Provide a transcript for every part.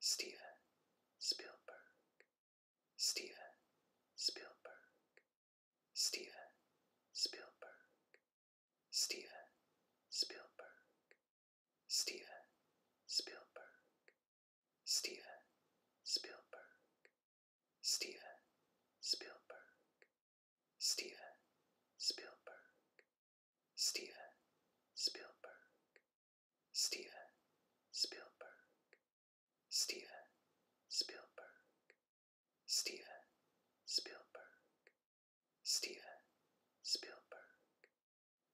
Steven Spielberg, Steven Spielberg, Steven Spielberg, Steven Spielberg, Steven Spielberg, Steven Spielberg, Steven Spielberg, Spielberg, Steven Spielberg, Steven Spielberg, Steven Spielberg, Steven Spielberg, Steven Spielberg,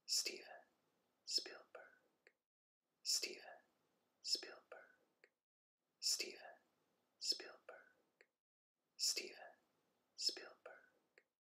Steven Spielberg, Steven Spielberg, Steven Spielberg, Spielberg.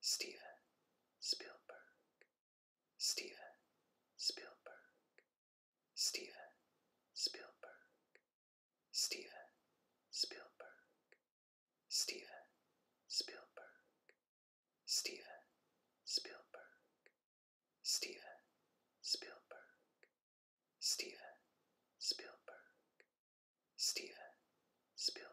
Steven Spielberg, Steven Spielberg, Steven Spielberg, Steven Spielberg, Steven Spielberg, Steven Spielberg, Steven Spielberg, Steven Spielberg, Spielberg,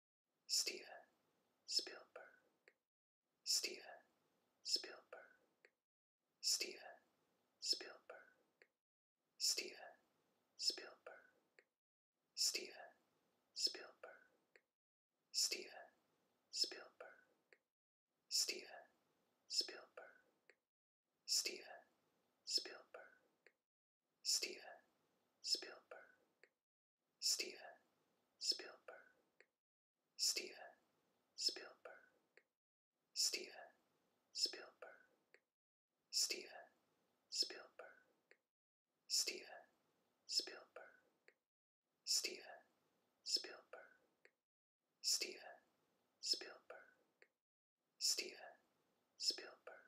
Steven Spielberg, Steven Spielberg, Steven Spielberg, Steven Spielberg, Steven Spielberg, Steven Spielberg, Steven Spielberg, Steven Spielberg, Spielberg. Steven Spielberg, Steven Spielberg, Steven Spielberg, Steven Spielberg, Steven Spielberg, Steven Spielberg, Steven Spielberg, Steven Spielberg,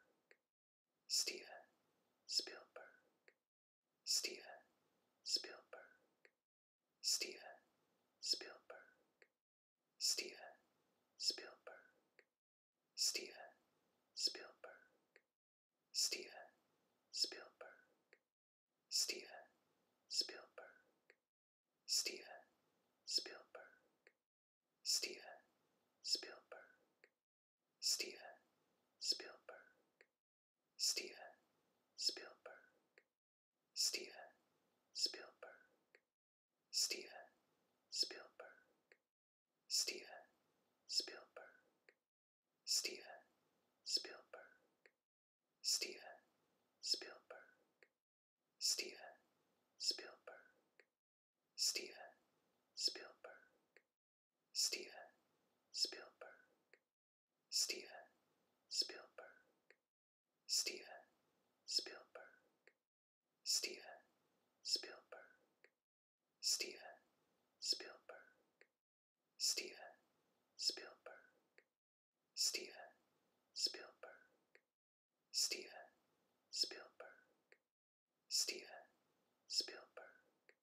Spielberg, Steven Spielberg, Steven Spielberg, Steven Spielberg, Steven Spielberg, Steven Spielberg, Steven Spielberg, Steven Spielberg, Steven Spielberg, Spielberg. Steven Spielberg, Steven Spielberg, Steven Spielberg, Steven Spielberg, Steven Spielberg, Steven Spielberg, Steven Spielberg, Spielberg, Steven Spielberg, Steven Spielberg, Steven Spielberg, Steven Spielberg, Steven Spielberg, Steven Spielberg, Steven Spielberg, Steven Spielberg, Spielberg,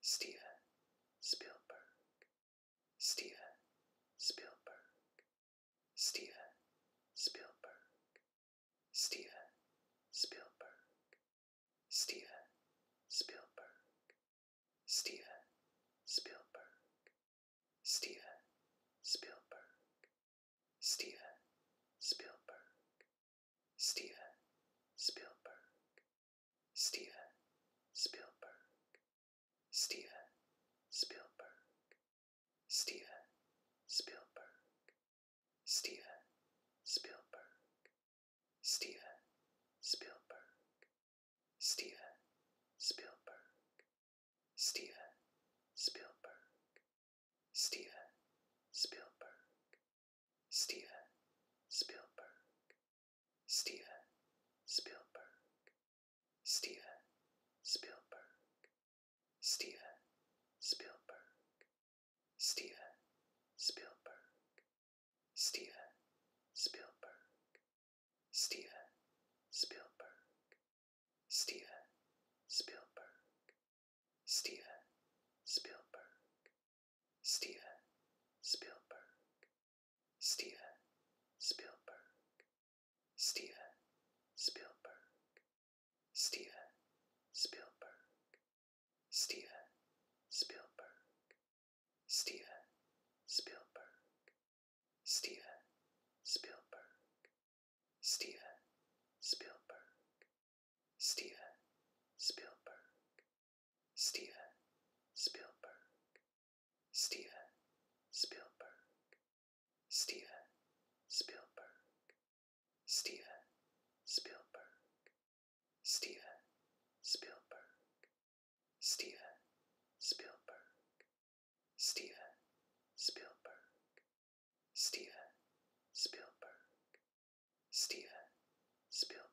Steven Spielberg, Steven Spielberg, Steven Spielberg, Steven Spielberg, Steven Spielberg, Steven Spielberg, Steven Spielberg, Steven Spielberg, Spielberg. Steven Spielberg, Steven Spielberg, Steven Spielberg, Steven Spielberg, Steven Spielberg, Steven Spielberg, Steven Spielberg, Steven Spielberg, Spielberg, Steven Spielberg, Steven Spielberg, Steven Spielberg, Steven Spielberg, Steven Spielberg, Steven Spielberg, Steven Spielberg, Spielberg, Steven Spielberg, Steven Spielberg, Steven Spielberg, Steven Spielberg, Steven Spielberg, Steven Spielberg, Steven Spielberg, Steven Spielberg, Spielberg, Steven Spielberg, Steven Spielberg, Steven Spielberg, Steven Spielberg, Steven Spielberg, Steven Spielberg, Steven Spielberg, Steven Spielberg, Spielberg.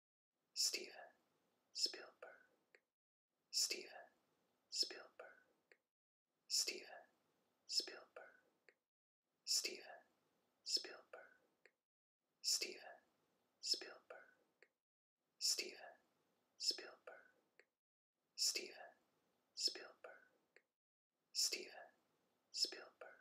Steven Spielberg, Steven Spielberg, Steven Spielberg, Steven Spielberg, Steven Spielberg, Steven Spielberg, Steven Spielberg, Steven Spielberg,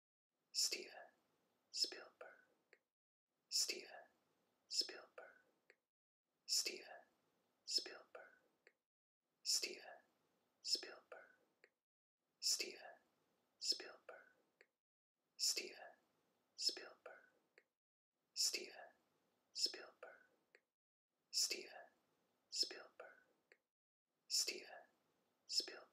Steven Spielberg, Steven Spielberg, Steven Spielberg, Steven Spielberg, Steven Spielberg, Steven Spielberg, Steven Spielberg, Steven Spielberg, Spielberg.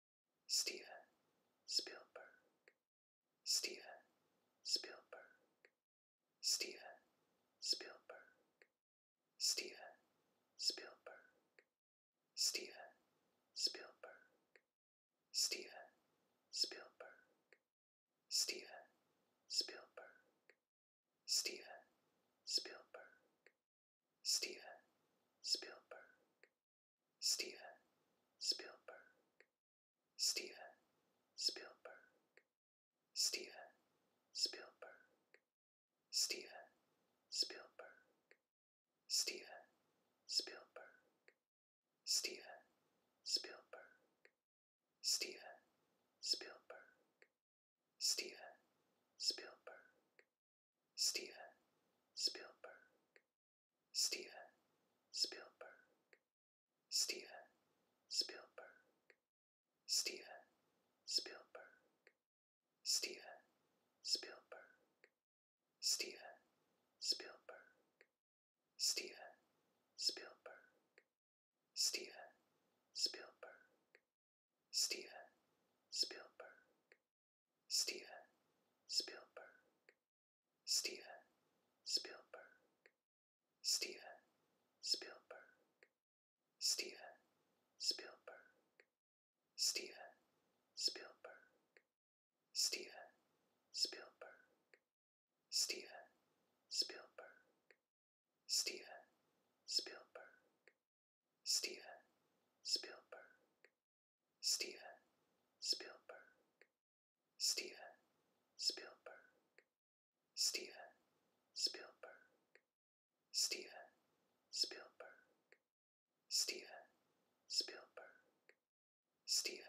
Steven Spielberg, Steven Spielberg, Steven Spielberg, Steven Spielberg, Steven Spielberg, Steven Spielberg, Steven Spielberg, Steven Spielberg, Spielberg. Steven Spielberg, Steven Spielberg, Steven Spielberg, Steven Spielberg, Steven Spielberg, Steven Spielberg, Steven Spielberg, Steven Spielberg, Spielberg. Steven Spielberg, Steven Spielberg, Steven Spielberg, Steven Spielberg, Steven Spielberg, Steven Spielberg, Steven Spielberg, Steven Spielberg, Steven Spielberg, Steven Spielberg, Steven Spielberg, Steven Spielberg, Steven Spielberg, Steven Spielberg, Steven Spielberg, Steven Spielberg, Spielberg. Steven Spielberg, Steven Spielberg, Steven Spielberg, Steven Spielberg, Steven Spielberg, Steven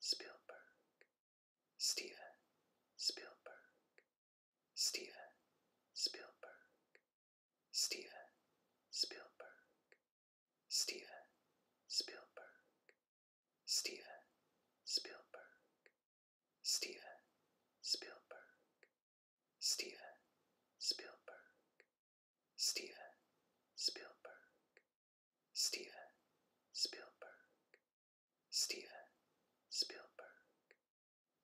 Spielberg, Steven Spielberg, Steven Spielberg, Spielberg, Steven Spielberg, Steven Spielberg, Steven Spielberg, Steven Spielberg, Steven Spielberg, Steven Spielberg, Steven Spielberg,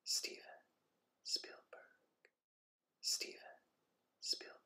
Steven Spielberg, Spielberg.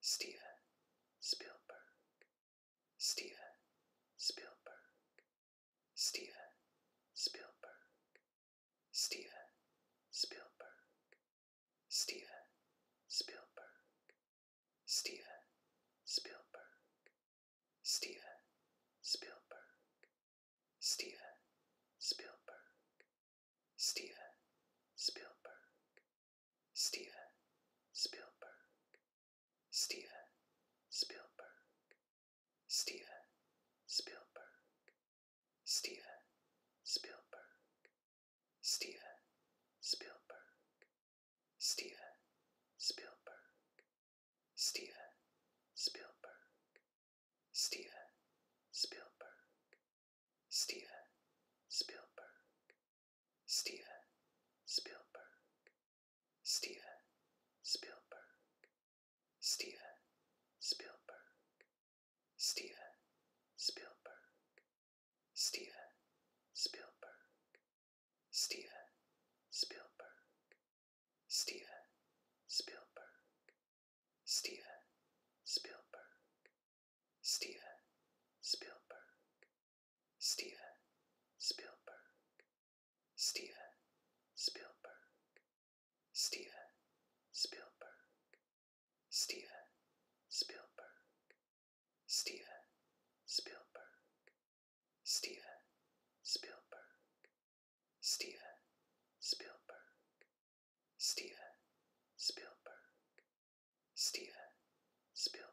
Steven Spielberg, Steven Spielberg, Steven Spielberg, Steven Spielberg, Steven Spielberg, Steven Spielberg, Steven Spielberg, Steven Spielberg, Spielberg. Steven Spielberg, Steven Spielberg, Steven Spielberg, Steven Spielberg, Steven Spielberg, Steven Spielberg, Steven Spielberg, Steven Spielberg, Spielberg. Steven Spielberg, Steven Spielberg, Steven Spielberg, Steven Spielberg, Steven Spielberg, Steven Spielberg, Steven Spielberg, Steven Spielberg, Spielberg. Steven Spielberg, Steven Spielberg, Steven Spielberg, Steven Spielberg, Steven Spielberg, Steven Spielberg, Steven Spielberg, Steven Spielberg, Spielberg.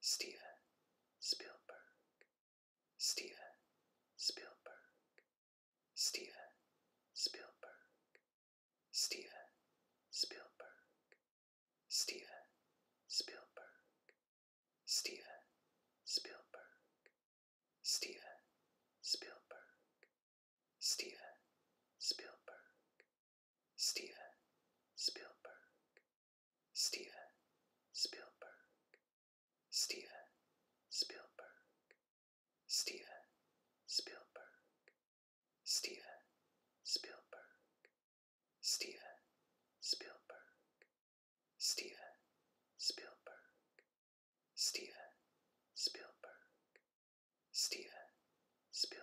Steven Spielberg, Steven Spielberg, Steven Spielberg, Steven Spielberg, Steven Spielberg, Steven Spielberg, Steven Spielberg, Steven Spielberg, Spielberg. Steven Spielberg, Steven Spielberg, Steven Spielberg, Steven Spielberg, Steven Spielberg, Steven Spielberg, Steven Spielberg, Spielberg.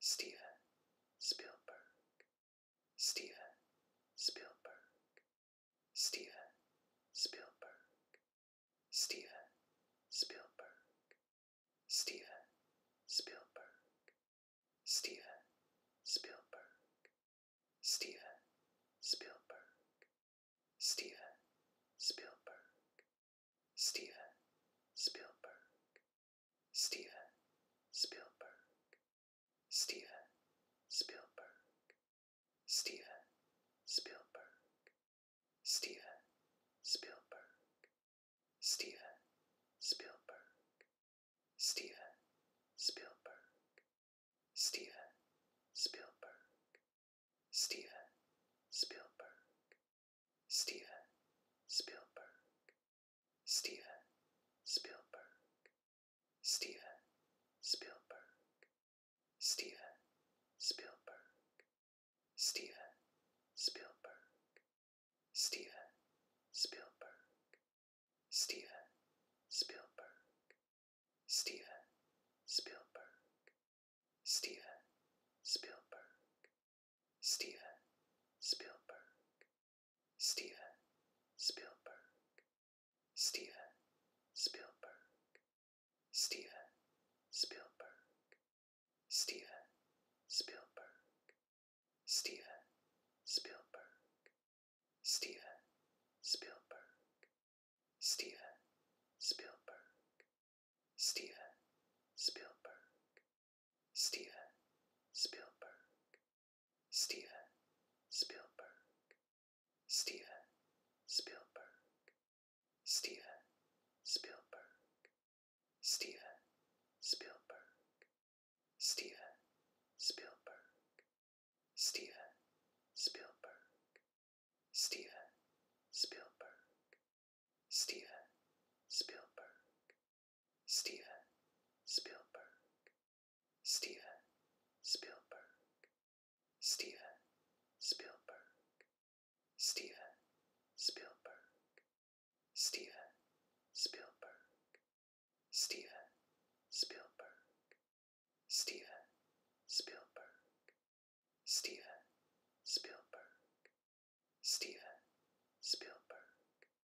Steven Spielberg, Steven Spielberg, Steven Spielberg, Steven Spielberg, Steven Spielberg, Steven Spielberg, Steven Spielberg, Steven Spielberg, Spielberg. Steven Spielberg, Steven Spielberg, Steven Spielberg, Steven Spielberg, Steven Spielberg, Steven Spielberg, Steven Spielberg, Steven Spielberg, Spielberg, Steven Spielberg, Steven Spielberg, Steven Spielberg, Steven Spielberg, Steven Spielberg, Steven Spielberg, Steven Spielberg, Steven Spielberg, Steven Spielberg, Steven Spielberg, Steven Spielberg, Steven Spielberg, Steven Spielberg, Steven Spielberg, Steven Spielberg, Steven Spielberg, Spielberg, Steven Spielberg, Steven Spielberg, Steven Spielberg, Steven Spielberg, Steven Spielberg, Steven Spielberg, Steven Spielberg, Steven Spielberg, Spielberg. Steven Spielberg, Steven Spielberg, Steven Spielberg, Steven Spielberg, Steven Spielberg, Steven Spielberg, Steven Spielberg, Steven Spielberg, Spielberg.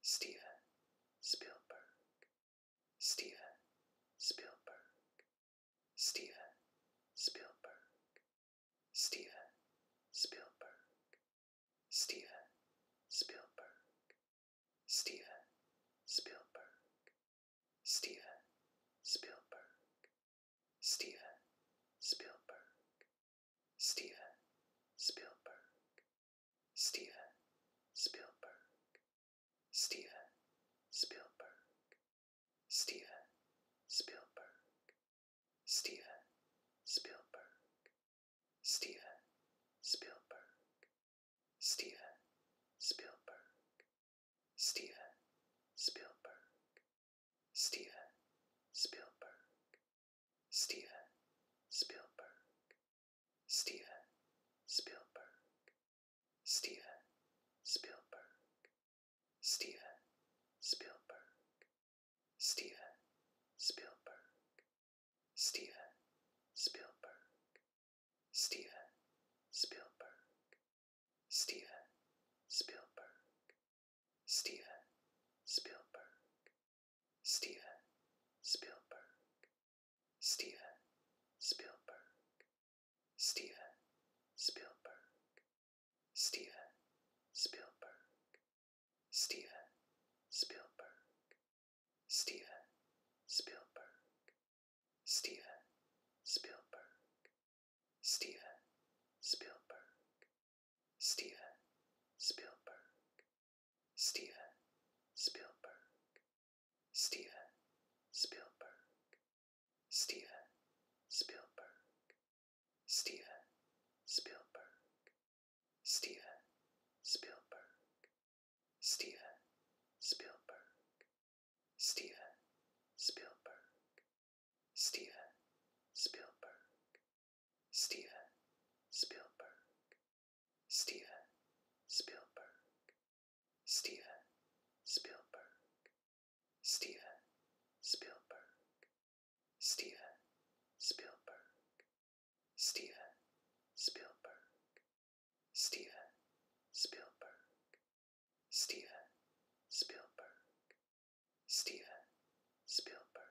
Steven Spielberg, Steven Spielberg, Steven Spielberg, Steven Spielberg, Steven Spielberg, Steven Spielberg, Steven Spielberg, Steven Spielberg, Spielberg, Steven Spielberg, Steven Spielberg, Steven Spielberg, Steven Spielberg, Steven Spielberg, Steven Spielberg, Steven Spielberg, Spielberg, Steven Spielberg, Steven Spielberg, Steven Spielberg, Steven Spielberg, Steven Spielberg, Steven Spielberg, Steven Spielberg, Steven Spielberg, Spielberg. Steven Spielberg, Steven Spielberg, Steven Spielberg, Steven Spielberg, Steven Spielberg, Steven Spielberg, Steven Spielberg, Steven Spielberg, Spielberg, Steven Spielberg, Steven Spielberg, Steven Spielberg, Steven Spielberg, Steven Spielberg, Steven Spielberg, Steven Spielberg, Steven Spielberg, Spielberg. Steven Spielberg, Steven Spielberg, Steven Spielberg, Steven Spielberg, Steven Spielberg, Steven Spielberg, Steven Spielberg, Spielberg,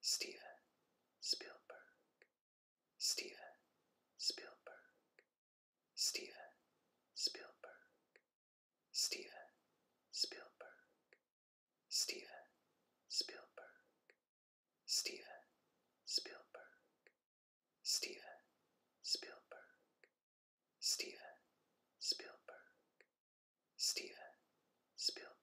Steven Spielberg, Steven Spielberg, Steven Spielberg, Steven Spielberg, Steven Spielberg, Steven Spielberg, Steven Spielberg, Steven Spielberg, Spielberg.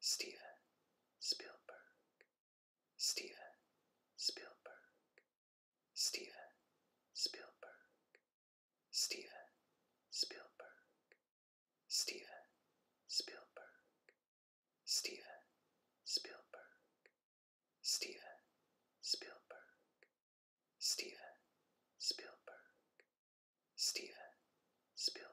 Steven Spielberg, Steven Spielberg, Steven Spielberg, Steven Spielberg, Steven Spielberg, Steven Spielberg, Steven Spielberg, Steven Spielberg, Spielberg,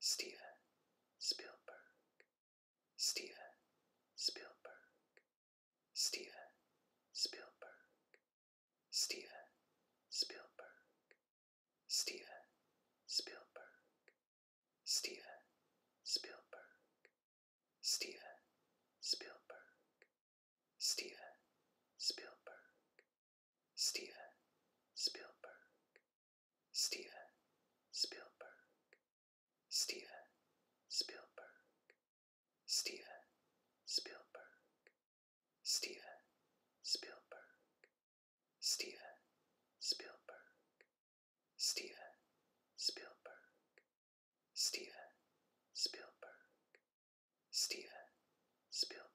Steven Spielberg, Steven Spielberg, Steven Spielberg, Steven Spielberg, Steven Spielberg, Steven Spielberg, Steven Spielberg, Spielberg. Steven Spielberg, Steven Spielberg, Steven Spielberg, Steven Spielberg, Steven Spielberg, Steven Spielberg, Steven Spielberg, Steven Spielberg, Spielberg.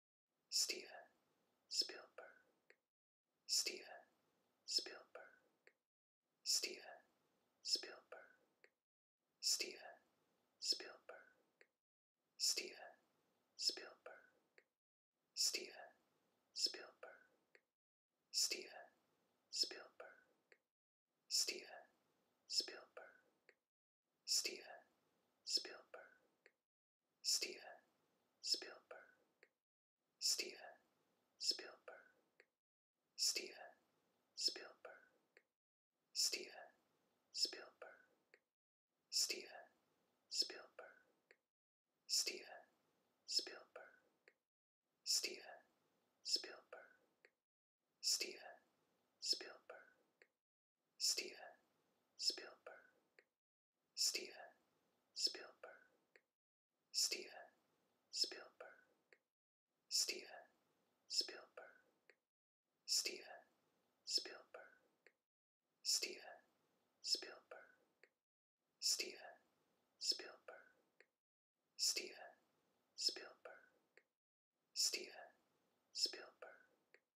Steven Spielberg, Steven Spielberg, Steven Spielberg, Steven Spielberg, Steven Spielberg, Steven Spielberg, Steven Spielberg, Steven Spielberg, Spielberg. Steven Spielberg, Steven Spielberg, Steven Spielberg, Steven Spielberg, Steven Spielberg, Steven Spielberg, Steven Spielberg, Steven Spielberg, Spielberg. Steven Spielberg, Steven Spielberg, Steven Spielberg, Steven Spielberg, Steven Spielberg, Steven Spielberg, Steven Spielberg, Spielberg,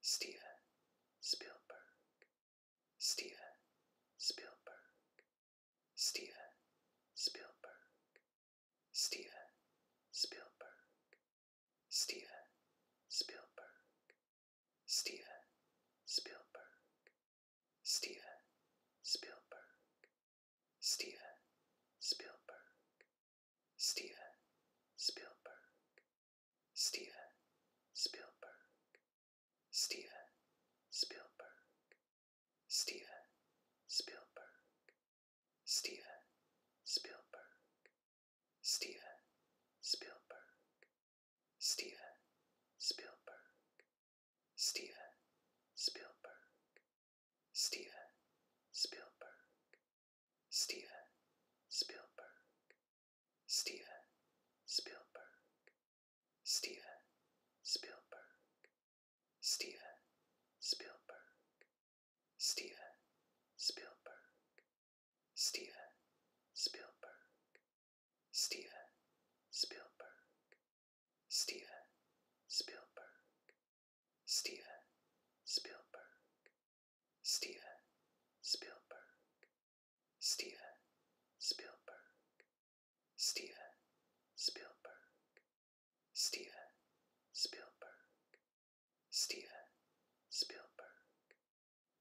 Steven Spielberg, Steven Spielberg, Steven Spielberg, Steven Spielberg, Steven Spielberg, Steven Spielberg, Steven Spielberg, Steven Spielberg, Spielberg. Steven Spielberg, Steven Spielberg, Steven Spielberg, Steven Spielberg, Steven Spielberg, Steven Spielberg, Steven Spielberg, Steven Spielberg, Spielberg. Steven Spielberg, Steven Spielberg, Steven Spielberg, Steven Spielberg, Steven Spielberg, Steven Spielberg, Steven Spielberg, Steven Spielberg, Steven Spielberg, Steven Spielberg, Steven Spielberg, Steven Spielberg, Steven Spielberg,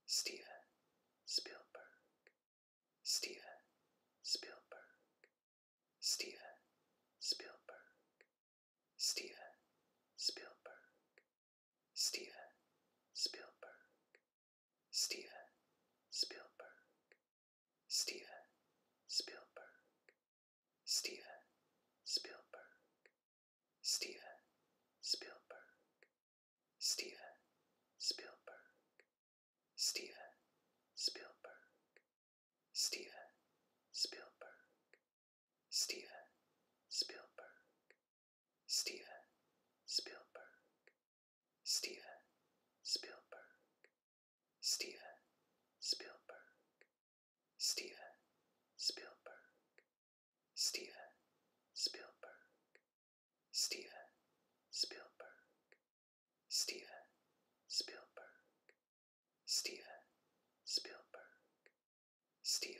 Steven Spielberg, Steven Spielberg, Steven Spielberg, Spielberg. Steven Spielberg, Steven Spielberg, Steven Spielberg, Steven Spielberg, Steven Spielberg, Steven Spielberg, Steven Spielberg, Steven Spielberg, Spielberg. Steven Spielberg, Steven Spielberg, Steven Spielberg, Steven Spielberg, Steven Spielberg, Steven Spielberg, Steven Spielberg, Steven Spielberg, Spielberg,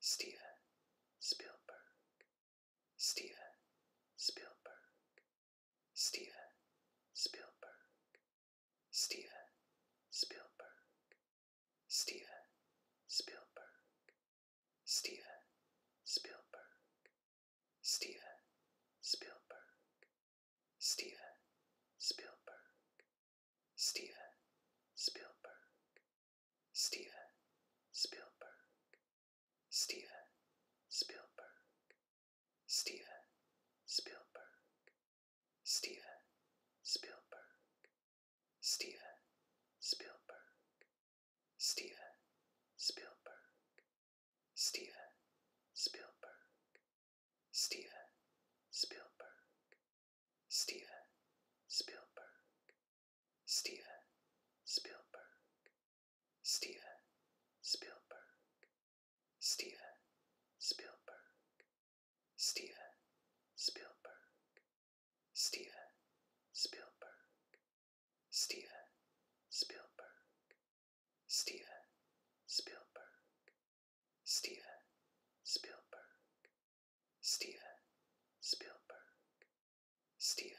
Steven Spielberg, Steven Spielberg, Steven Spielberg, Steven Spielberg, Steven Spielberg, Steven Spielberg, Steven Spielberg, Steven Spielberg, Spielberg. Steven Spielberg, Steven Spielberg, Steven Spielberg, Steven Spielberg, Steven Spielberg, Steven Spielberg, Steven Spielberg, Steven Spielberg, Spielberg. Steven Spielberg, Steven Spielberg, Steven Spielberg, Steven Spielberg, Steven Spielberg, Steven Spielberg, Steven Spielberg, Steven Spielberg, Spielberg. Steven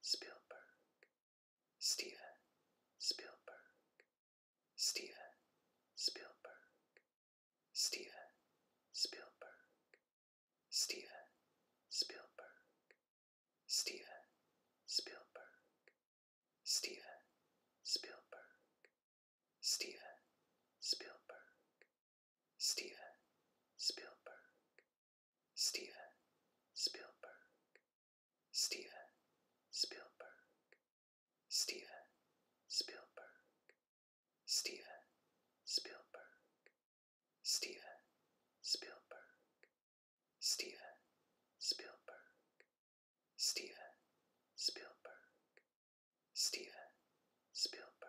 Spielberg, Steven Spielberg, Steven Spielberg, Steven Spielberg, Steven Spielberg, Steven Spielberg, Steven Spielberg, Spielberg. Steven Spielberg, Steven Spielberg, Steven Spielberg, Steven Spielberg, Steven Spielberg, Steven Spielberg, Steven Spielberg, Steven Spielberg, Spielberg.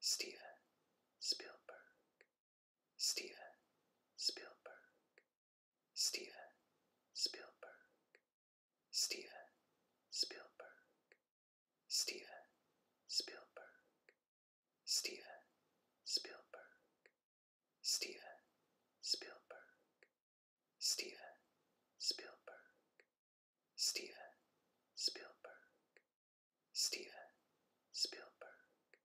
Steven Spielberg, Steven Spielberg, Steven Spielberg, Steven Spielberg, Steven Spielberg, Steven Spielberg, Steven Spielberg, Steven Spielberg, Spielberg. Steven Spielberg,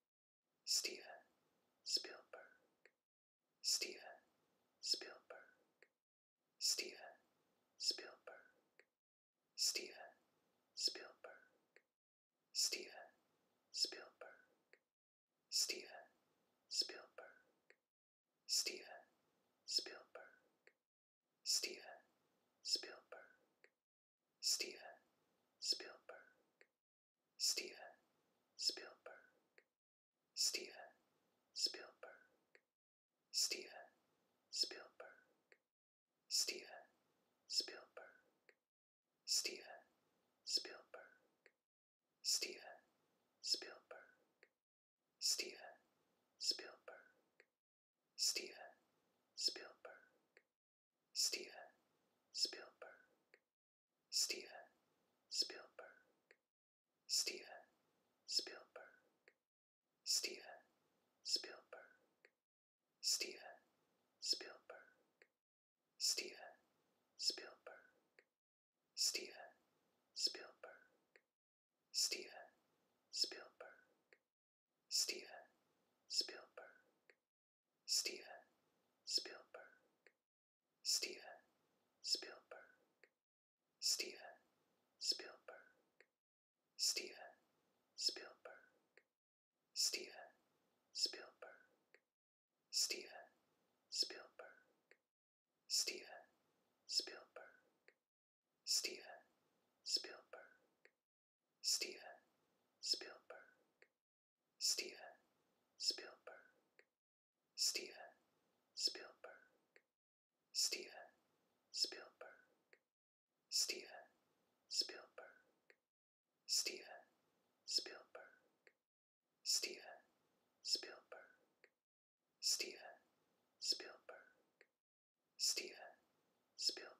Steven Spielberg, Steven Spielberg, Steven Spielberg, Steven Spielberg, Steven Spielberg, Steven Spielberg, Steven Spielberg, Spielberg. Steven Spielberg, Steven Spielberg, Steven Spielberg, Steven Spielberg, Steven Spielberg, Steven Spielberg, Steven Spielberg, Steven Spielberg, Spielberg, Steven Spielberg, Steven Spielberg, Steven Spielberg, Steven Spielberg, Steven Spielberg, Steven Spielberg, Steven Spielberg, Steven Spielberg, Steven Spielberg, Steven Spielberg, Steven Spielberg, Steven Spielberg, Steven Spielberg, Steven Spielberg, Steven Spielberg, Steven Spielberg, Spielberg, Steven Spielberg, Steven Spielberg, Steven Spielberg, Steven Spielberg, Steven Spielberg, Steven Spielberg, Steven Spielberg, Steven Spielberg, Spielberg,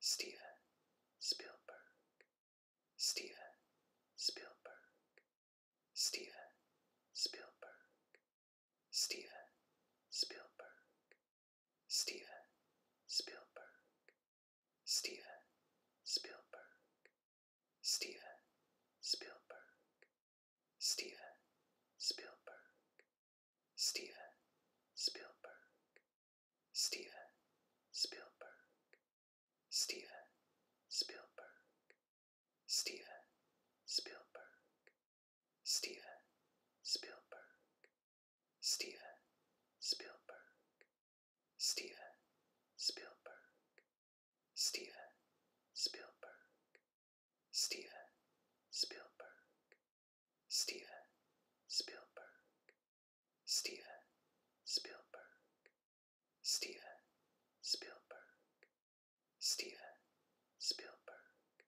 Steven Spielberg, Steven Spielberg, Steven Spielberg, Steven Spielberg, Steven Spielberg, Steven Spielberg, Steven Spielberg, Steven Spielberg, Steven Spielberg, Steven Spielberg, Steven Spielberg, Steven Spielberg, Steven Spielberg, Steven Spielberg, Steven Spielberg, Steven Spielberg, Spielberg, Steven Spielberg, Steven Spielberg, Steven Spielberg, Steven Spielberg,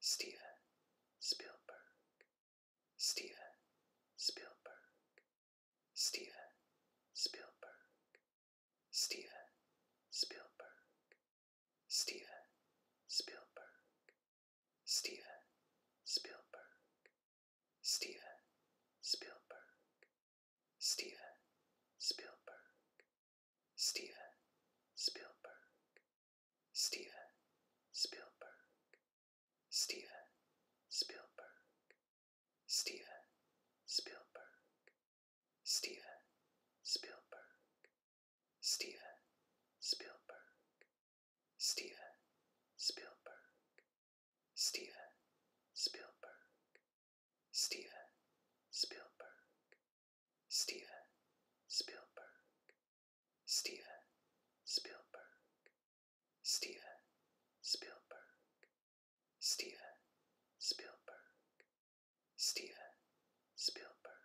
Steven Spielberg, Steven Spielberg, Steven Spielberg, Steven Spielberg, Spielberg. Steven Spielberg, Steven Spielberg, Steven Spielberg, Steven Spielberg, Steven Spielberg, Steven Spielberg, Steven Spielberg, Steven Spielberg, Spielberg. Steven Spielberg, Steven Spielberg, Steven Spielberg, Steven Spielberg, Steven Spielberg, Steven Spielberg, Steven Spielberg, Steven Spielberg,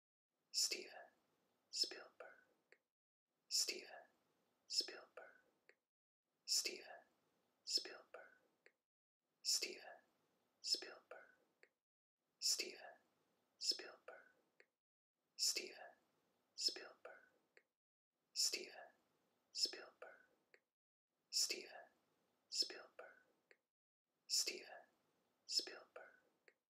Steven Spielberg, Steven Spielberg, Steven Spielberg, Steven Spielberg, Steven Spielberg, Steven Spielberg, Steven Spielberg, Steven Spielberg, Spielberg,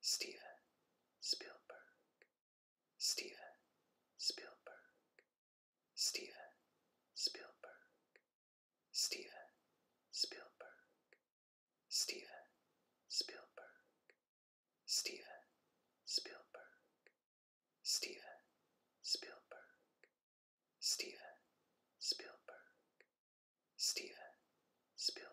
Steven Spielberg, Steven Spielberg, Steven Spielberg, Steven Spielberg, Steven Spielberg, Steven Spielberg, Steven Spielberg, Steven Spielberg, Spielberg,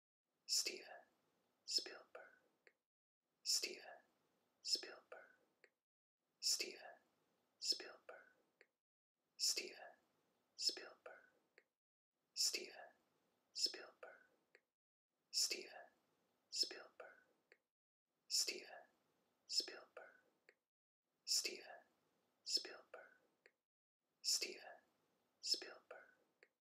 Steven Spielberg, Steven Spielberg, Steven Spielberg, Steven Spielberg, Steven Spielberg, Steven Spielberg, Steven Spielberg, Steven Spielberg, Spielberg.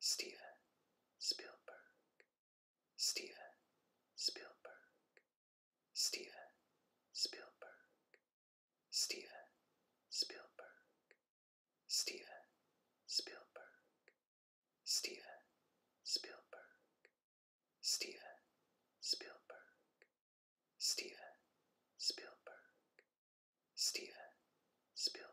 Steven Spielberg, Steven Spielberg, Steven Spielberg, Steven Spielberg, Steven Spielberg, Steven Spielberg, Steven Spielberg, Steven Spielberg, Spielberg.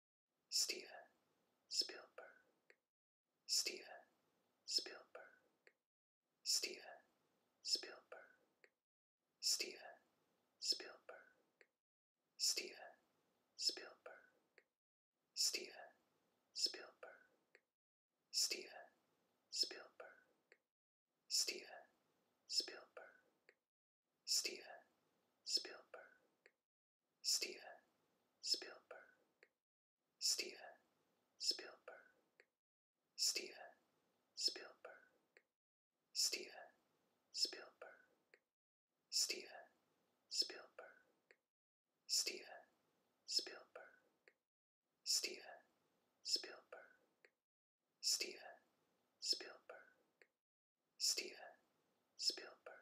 Steven Spielberg, Steven Spielberg, Steven Spielberg, Steven Spielberg, Steven Spielberg, Steven Spielberg, Steven Spielberg, Steven Spielberg, Spielberg. Steven Spielberg, Steven Spielberg, Steven Spielberg, Steven Spielberg, Steven Spielberg, Steven Spielberg, Steven Spielberg, Steven Spielberg, Spielberg.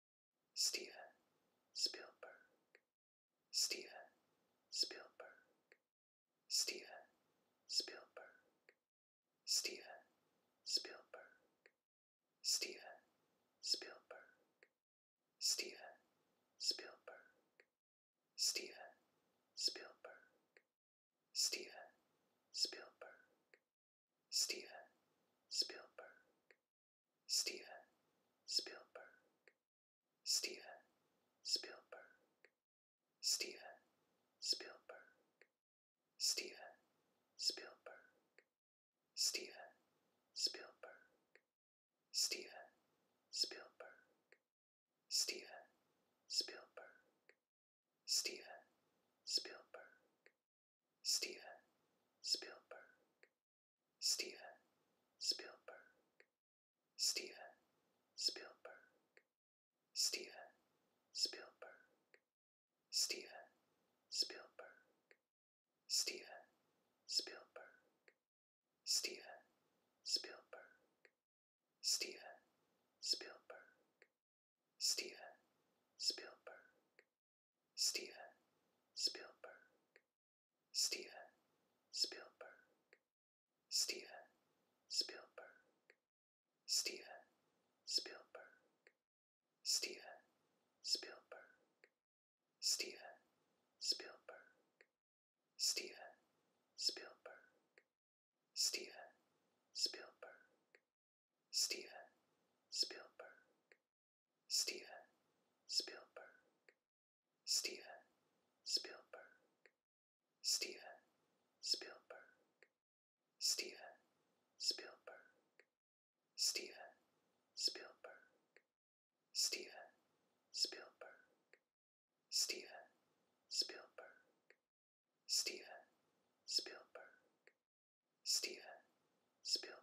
Steven Spielberg, Steven Spielberg, Steven Spielberg, Steven Spielberg, Steven Spielberg, Steven Spielberg, Steven Spielberg, Steven Spielberg, Spielberg. Steven Spielberg, Steven Spielberg, Steven Spielberg, Steven Spielberg, Steven Spielberg, Steven Spielberg, Steven Spielberg, Steven Spielberg, Spielberg. Steven Spielberg, Steven Spielberg, Steven Spielberg, Steven Spielberg, Steven Spielberg, Steven Spielberg, Steven Spielberg, Steven Spielberg, Spielberg. Steven Spielberg, Steven Spielberg, Steven Spielberg, Steven Spielberg, Steven Spielberg, Steven Spielberg, Steven Spielberg, Steven Spielberg, Steven Spielberg, Steven Spielberg, Steven Spielberg, Steven Spielberg, Steven Spielberg, Steven Spielberg, Steven Spielberg, Steven Spielberg, Spielberg.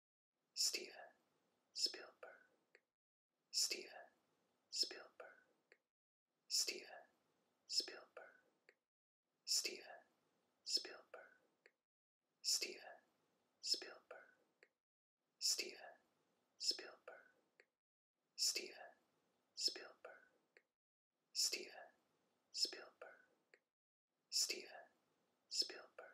Steven Spielberg, Steven Spielberg, Steven Spielberg, Steven Spielberg, Steven Spielberg, Steven Spielberg, Steven Spielberg, Steven Spielberg, Spielberg.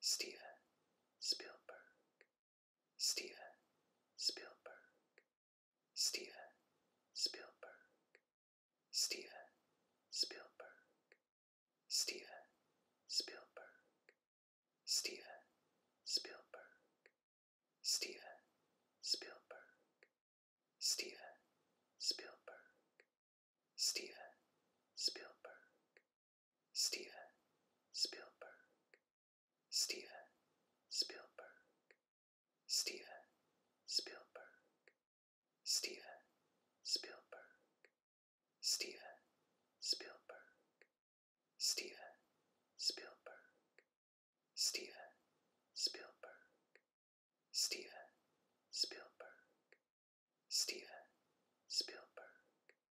Steven Spielberg, Steven Spielberg, Steven Spielberg, Steven Spielberg, Steven Spielberg, Steven Spielberg, Steven Spielberg, Steven Spielberg, Spielberg. Steven Spielberg, Steven Spielberg, Steven Spielberg, Steven Spielberg, Steven Spielberg, Steven Spielberg, Steven Spielberg, Steven Spielberg, Spielberg.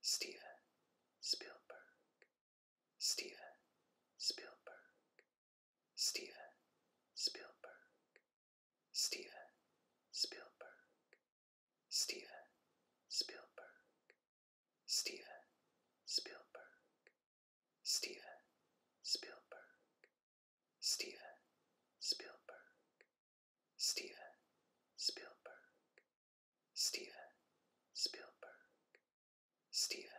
Steven Spielberg, Steven Spielberg, Steven Spielberg, Steven Spielberg, Steven Spielberg, Steven Spielberg, Steven Spielberg, Spielberg. Steven Spielberg, Steven Spielberg, Steven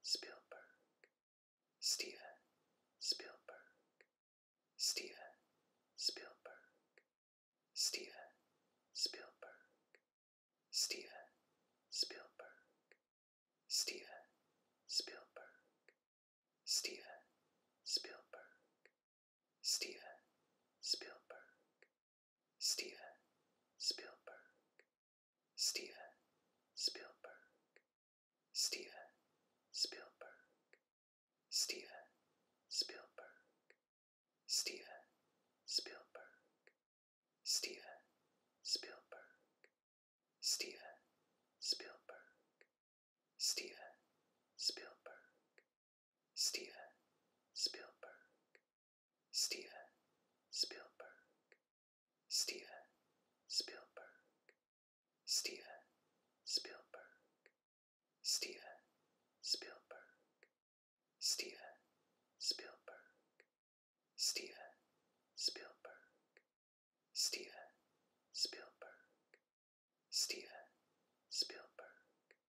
Spielberg, Steven Spielberg, Steven Spielberg, Steven Spielberg, Steven Spielberg, Steven Spielberg, Spielberg. Steven Spielberg, Steven Spielberg, Steven Spielberg, Steven Spielberg, Steven Spielberg, Steven Spielberg, Steven Spielberg, Steven Spielberg, Spielberg. Steven Spielberg, Steven Spielberg, Steven Spielberg, Steven Spielberg, Steven Spielberg, Steven Spielberg, Steven Spielberg, Steven Spielberg, Spielberg.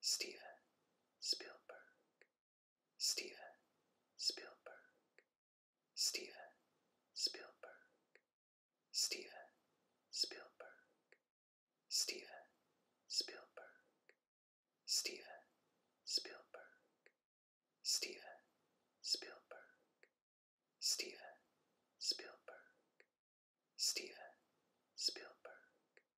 Steven Spielberg, Steven Spielberg, Steven Spielberg, Steven Spielberg, Steven Spielberg, Steven Spielberg, Steven Spielberg, Steven Spielberg, Spielberg.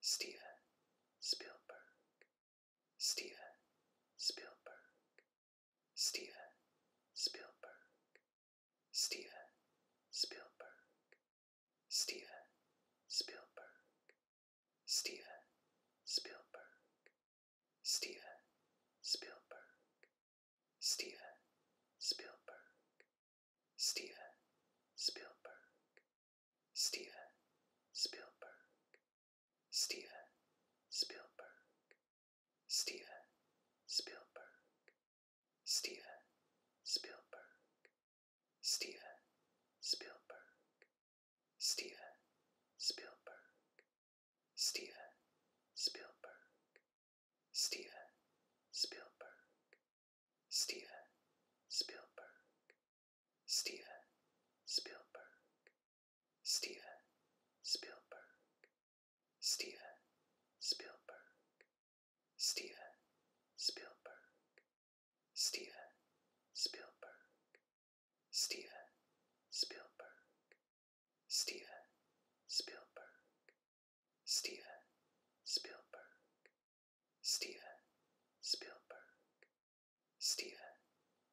Steven Spielberg, Steven Spielberg, Steven Spielberg, Steven Spielberg, Steven Spielberg, Steven Spielberg, Steven Spielberg, Steven Spielberg, Spielberg. Steven Spielberg, Steven Spielberg, Steven Spielberg, Steven Spielberg, Steven Spielberg, Steven Spielberg, Steven Spielberg, Spielberg, Steven Spielberg, Steven Spielberg, Steven Spielberg, Steven Spielberg, Steven Spielberg, Steven Spielberg, Steven Spielberg, Steven Spielberg, Spielberg. Steven Spielberg, Steven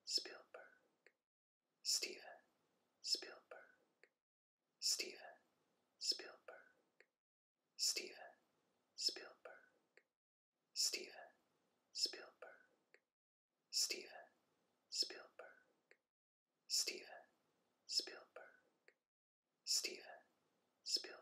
Spielberg, Steven Spielberg, Steven Spielberg, Steven Spielberg, Steven Spielberg, Steven Spielberg, Steven Spielberg, Spielberg,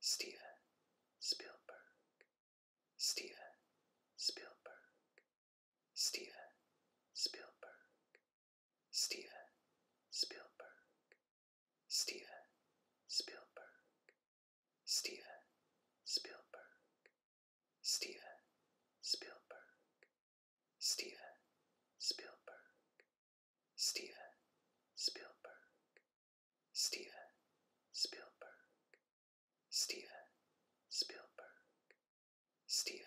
Steven Spielberg, Steven Spielberg, Steven Spielberg, Steven Spielberg, Steven Spielberg, Steven Spielberg, Steven Spielberg, Steven Spielberg, Spielberg. Steven Spielberg, Steven Spielberg, Steven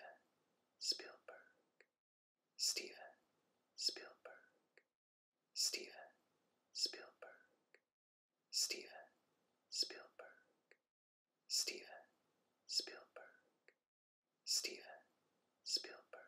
Spielberg, Steven Spielberg, Steven Spielberg, Steven Spielberg, Steven Spielberg, Spielberg,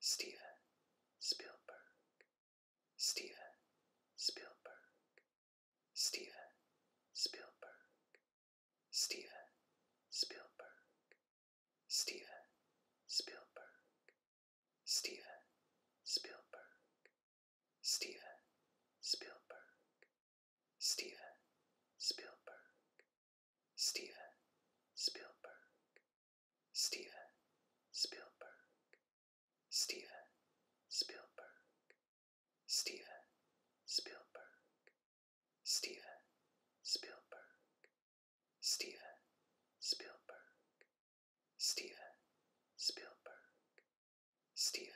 Steven Spielberg, Steven Spielberg, Steven Spielberg, Steven Spielberg, Steven Spielberg, Steven Spielberg, Steven Spielberg, Steven Spielberg, Spielberg. Steven Spielberg, Steven Spielberg, Steven Spielberg, Steven Spielberg, Steven Spielberg, Steven Spielberg, Steven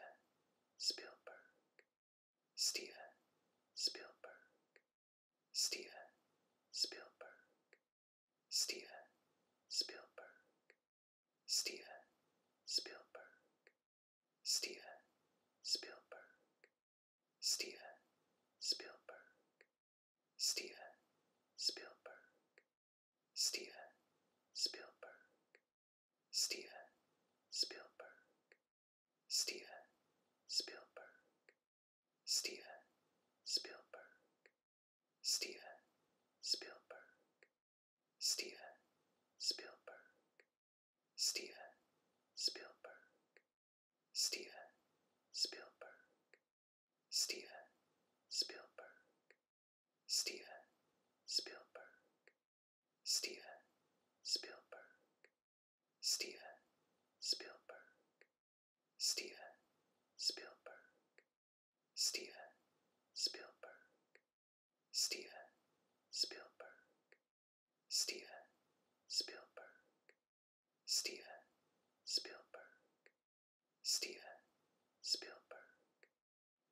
Spielberg, Steven Spielberg, Steven Spielberg, Steven Spielberg, Steven Spielberg, Steven Spielberg, Steven Spielberg, Steven Spielberg, Steven Spielberg, Steven Spielberg, Spielberg. Steven Spielberg, Steven Spielberg, Steven Spielberg, Steven Spielberg, Steven Spielberg, Steven Spielberg, Steven Spielberg, Steven Spielberg, Spielberg, Steven Spielberg, Steven Spielberg, Steven Spielberg, Steven Spielberg, Steven Spielberg, Steven Spielberg,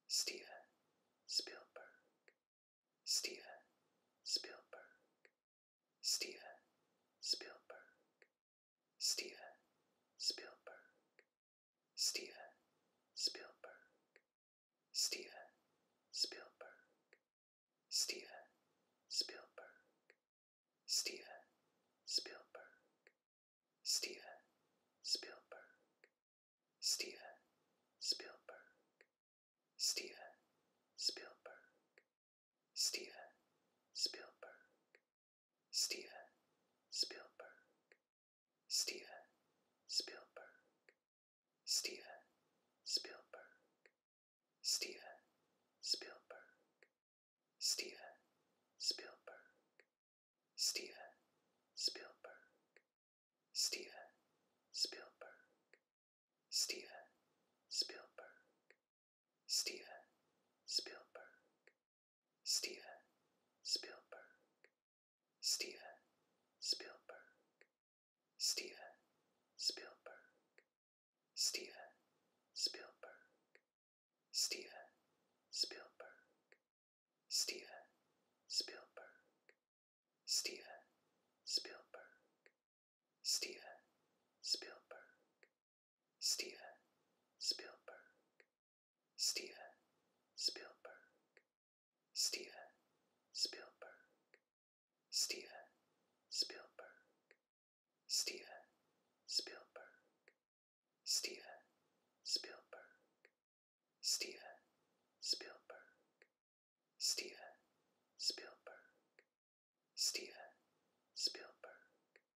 Steven Spielberg, Steven Spielberg, Spielberg, Steven Spielberg, Steven Spielberg, Steven Spielberg, Steven Spielberg, Steven Spielberg, Steven Spielberg, Steven Spielberg, Spielberg, Steven Spielberg, Steven Spielberg, Steven Spielberg, Steven Spielberg, Steven Spielberg, Steven Spielberg, Steven Spielberg, Steven Spielberg, Spielberg, Steven Spielberg, Steven Spielberg, Steven Spielberg, Steven Spielberg, Steven Spielberg, Steven Spielberg, Steven Spielberg, Steven Spielberg, Spielberg. Steven Spielberg, Steven Spielberg, Steven Spielberg, Steven Spielberg, Steven Spielberg, Steven Spielberg, Steven Spielberg, Steven Spielberg, Spielberg.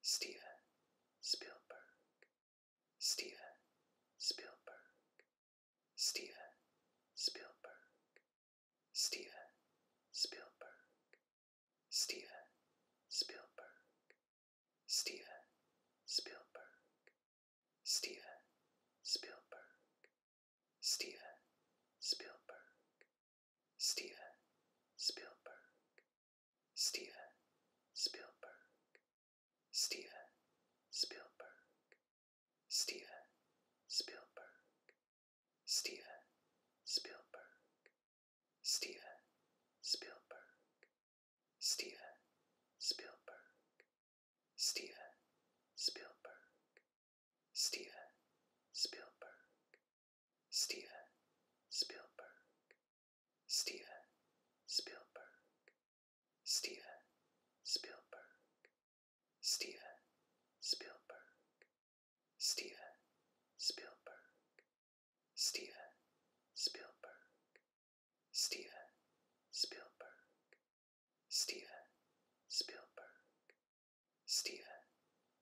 Steven Spielberg, Steven Spielberg, Steven Spielberg, Steven Spielberg, Steven Spielberg, Steven Spielberg, Steven Spielberg, Steven Spielberg, Spielberg. Steven Spielberg, Steven Spielberg, Steven Spielberg, Steven Spielberg, Steven Spielberg, Steven Spielberg, Steven Spielberg, Steven Spielberg, Spielberg. Steven Spielberg, Steven Spielberg, Steven Spielberg, Steven Spielberg, Steven Spielberg, Steven Spielberg, Steven Spielberg, Steven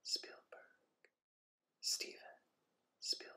Spielberg, Spielberg,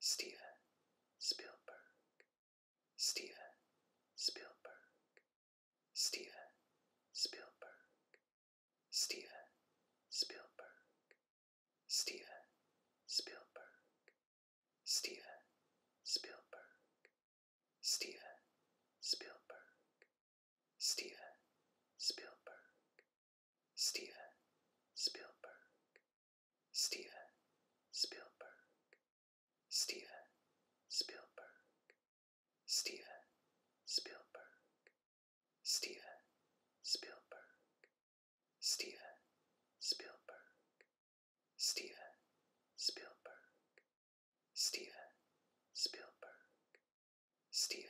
Steven Spielberg, Steven Spielberg, Steven Spielberg, Steven Spielberg, Steven Spielberg, Steven Spielberg, Steven Spielberg, Steven Spielberg, Spielberg, Steven Spielberg, Steven Spielberg, Steven Spielberg, Steven Spielberg, Steven Spielberg, Steven Spielberg, Steven Spielberg, Steven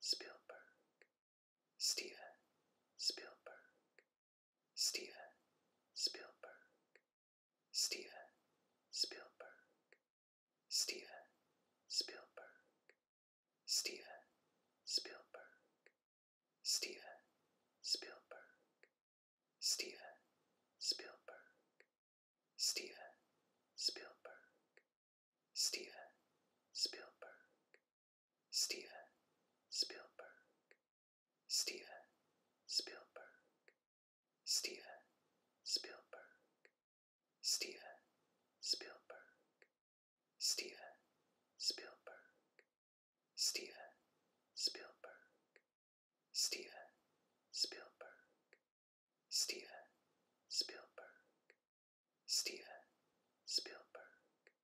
Spielberg, Spielberg, Steven Spielberg, Steven Spielberg, Steven Spielberg, Steven Spielberg, Steven Spielberg, Steven Spielberg, Steven Spielberg, Steven Spielberg, Spielberg. Steven Spielberg, Steven Spielberg, Steven Spielberg, Steven Spielberg, Steven Spielberg, Steven Spielberg, Steven Spielberg, Steven Spielberg,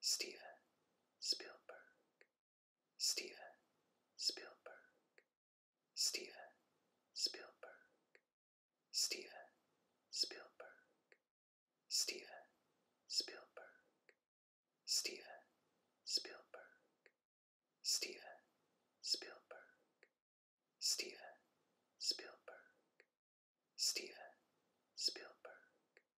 Steven Spielberg, Steven Spielberg, Steven Spielberg, Steven Spielberg, Steven Spielberg, Steven Spielberg, Steven Spielberg, Steven Spielberg, Spielberg.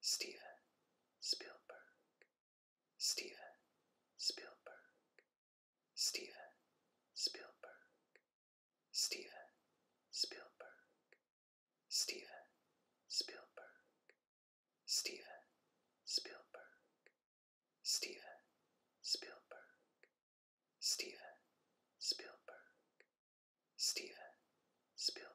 Steven Spielberg, Steven Spielberg, Steven Spielberg, Steven Spielberg, Steven Spielberg, Steven Spielberg, Steven Spielberg, Steven Spielberg, Spielberg.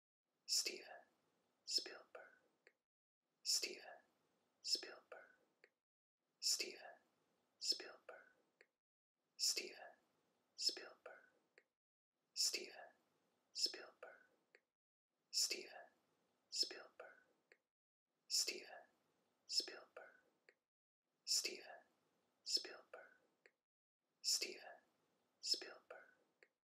Steven Spielberg, Steven Spielberg, Steven Spielberg, Steven Spielberg, Steven Spielberg, Steven Spielberg, Steven Spielberg, Steven Spielberg, Spielberg.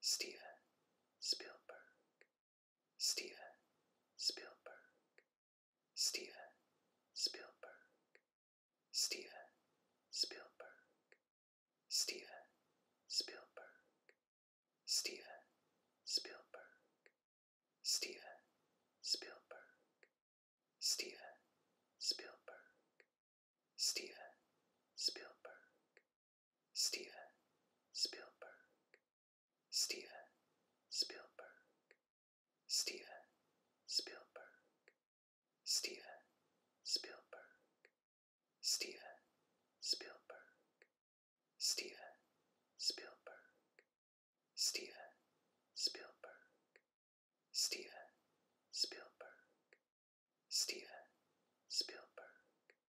Steven Spielberg, Steven Spielberg, Steven Spielberg, Steven Spielberg, Steven Spielberg, Steven Spielberg, Steven Spielberg, Steven Spielberg, Spielberg. Steven Spielberg, Steven Spielberg, Steven Spielberg, Steven Spielberg, Steven Spielberg, Steven Spielberg, Steven Spielberg, Steven Spielberg, Spielberg.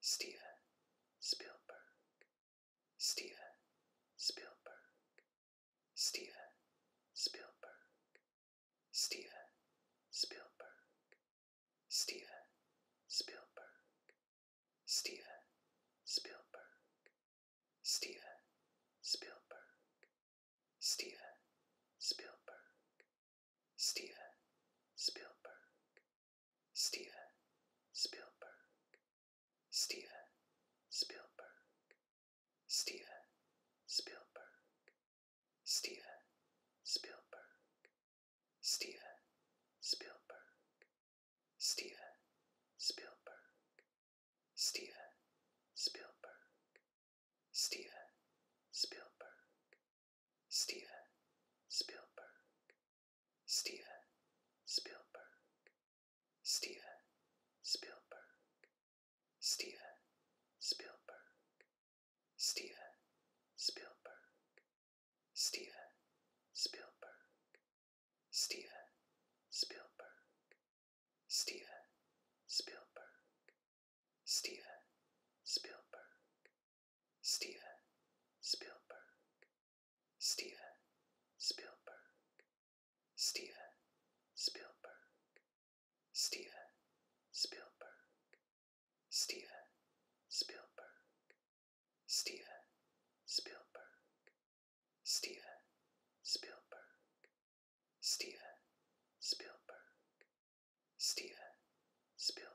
Steven Spielberg, Steven Spielberg, Steven Spielberg, Steven Spielberg, Steven Spielberg, Steven Spielberg, Steven Spielberg, Steven Spielberg, Steven Spielberg, Steven Spielberg, Steven Spielberg, Steven Spielberg, Steven Spielberg, Steven Spielberg, Steven Spielberg, Steven Spielberg, Spielberg. Steven Spielberg, Steven Spielberg, Steven Spielberg, Steven Spielberg, Steven Spielberg, Steven Spielberg, Steven Spielberg, Steven Spielberg, Spielberg. Steven Spielberg, Steven Spielberg, Steven Spielberg, Steven Spielberg, Steven Spielberg, Steven Spielberg, Steven Spielberg, Steven Spielberg, Spielberg.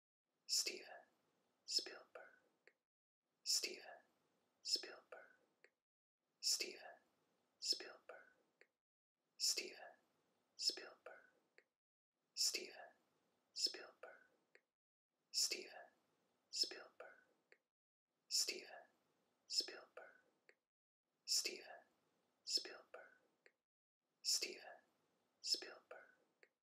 Steven Spielberg, Steven Spielberg, Steven Spielberg, Steven Spielberg, Steven Spielberg, Steven Spielberg, Steven Spielberg, Steven Spielberg, Spielberg.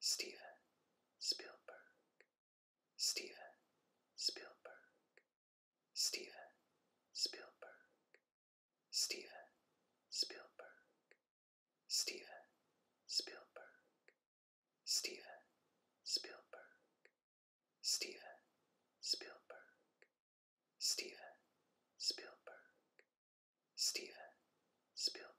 Steven Spielberg, Steven Spielberg, Steven Spielberg, Steven Spielberg, Steven Spielberg, Steven Spielberg, Steven Spielberg, Steven Spielberg, Spielberg,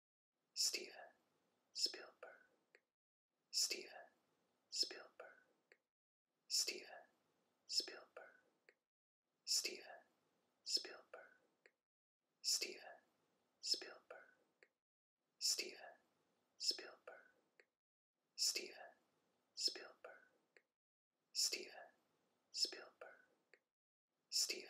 Steven Spielberg, Steven Spielberg, Steven Spielberg, Steven Spielberg, Steven Spielberg, Steven Spielberg, Steven Spielberg, Steven Spielberg, Spielberg,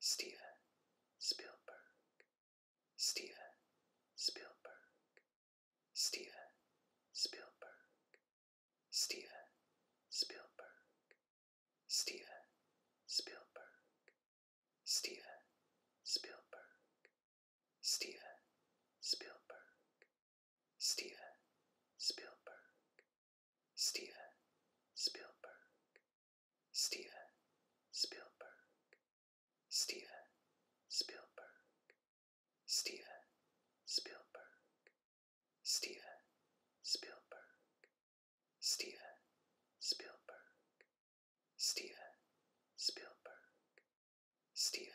Steven Spielberg, Steven Spielberg, Steven Spielberg, Steven Spielberg, Steven Spielberg, Steven Spielberg, Steven Spielberg, Steven Spielberg, Spielberg, Steven Spielberg, Steven Spielberg, Steven Spielberg, Steven Spielberg, Steven Spielberg, Steven Spielberg, Steven Spielberg,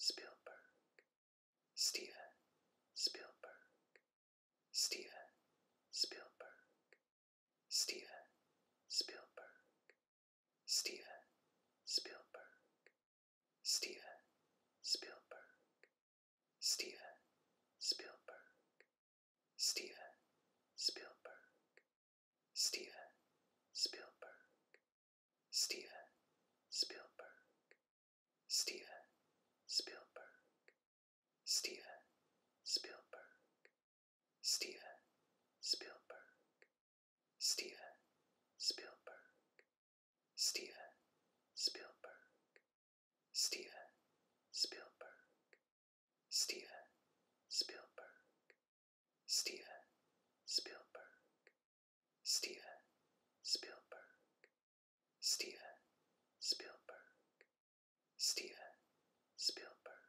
Steven Spielberg, Spielberg. Steven Spielberg, Steven Spielberg, Steven Spielberg, Steven Spielberg, Steven Spielberg, Steven Spielberg, Steven Spielberg, Steven Spielberg, Spielberg, Steven Spielberg, Steven Spielberg, Steven Spielberg, Steven Spielberg, Steven Spielberg, Steven Spielberg, Steven Spielberg, Steven Spielberg, Spielberg,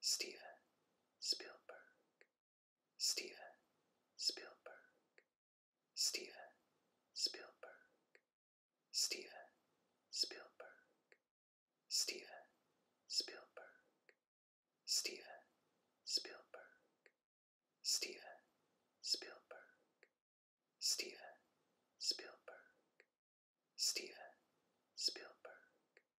Steven Spielberg, Steven Spielberg, Steven Spielberg, Steven Spielberg, Steven Spielberg, Steven Spielberg, Steven Spielberg, Steven Spielberg, Spielberg,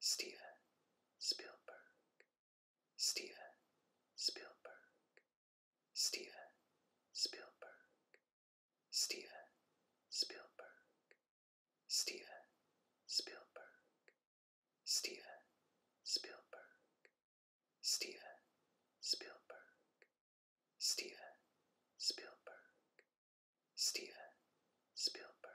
Steven Spielberg, Steven Spielberg, Steven Spielberg, Steven Spielberg, Steven Spielberg, Steven Spielberg, Steven Spielberg, Steven Spielberg, Spielberg.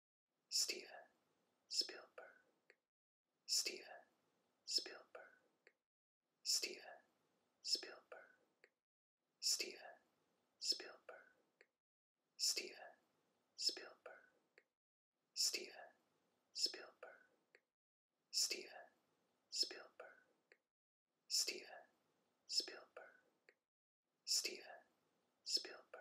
Steven Spielberg, Steven Spielberg, Steven Spielberg, Steven Spielberg, Steven Spielberg, Steven Spielberg, Steven Spielberg, Steven Spielberg, Spielberg.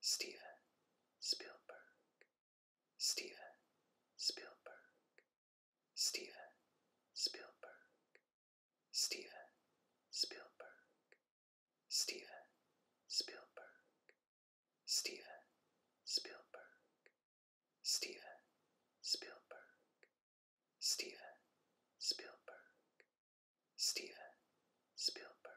Steven Spielberg, Steven Spielberg, Steven Spielberg, Steven Spielberg, Steven Spielberg, Steven Spielberg, Steven Spielberg, Steven Spielberg, Spielberg.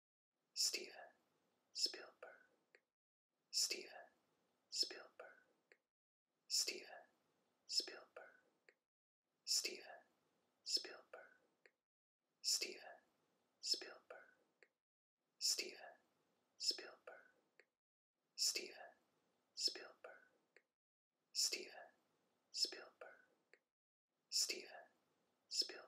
Steven Spielberg, Steven Spielberg, Steven Spielberg, Steven Spielberg, Steven Spielberg, Steven Spielberg, Steven Spielberg, Steven Spielberg, Spielberg,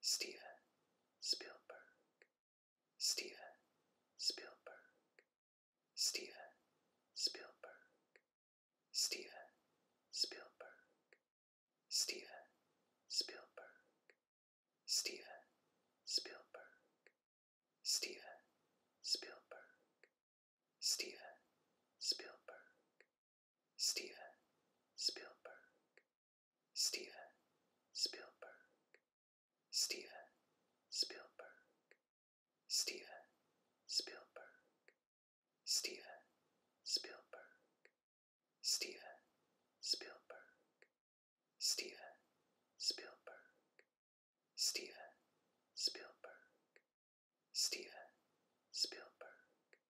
Steven Spielberg, Steven Spielberg, Steven Spielberg, Steven Spielberg, Steven Spielberg, Steven Spielberg, Steven Spielberg, Steven Spielberg, Steven Spielberg, Steven Spielberg, Steven Spielberg, Steven Spielberg, Steven Spielberg, Steven Spielberg, Steven Spielberg, Steven Spielberg, Spielberg.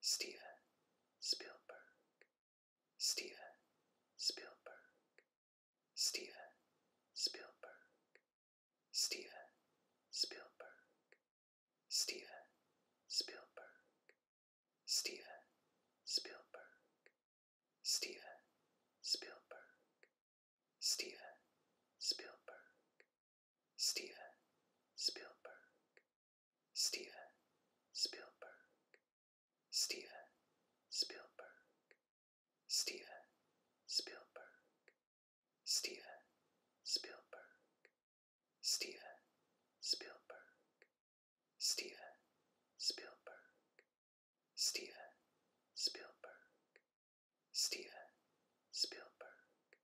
Steven Spielberg, Steven Spielberg, Steven Spielberg, Steven Spielberg, Steven Spielberg, Steven Spielberg, Steven Spielberg, Spielberg, Steven Spielberg, Steven Spielberg, Steven Spielberg, Steven Spielberg, Steven Spielberg, Steven Spielberg, Steven Spielberg, Steven Spielberg, Spielberg,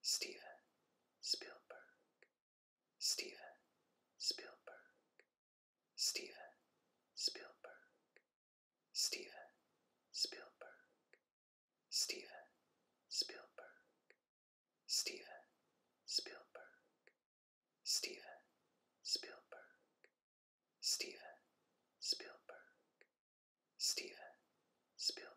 Steven Spielberg, Steven Spielberg, Steven Spielberg, Steven Spielberg, Steven Spielberg, Steven Spielberg, Steven Spielberg, Steven Spielberg, Spielberg.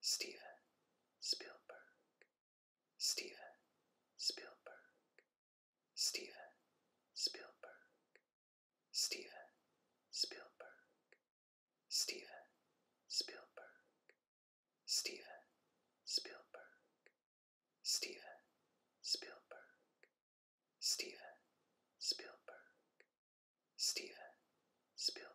Steven Spielberg, Steven Spielberg, Steven Spielberg, Steven Spielberg, Steven Spielberg, Steven Spielberg, Steven Spielberg, Steven Spielberg, Spielberg.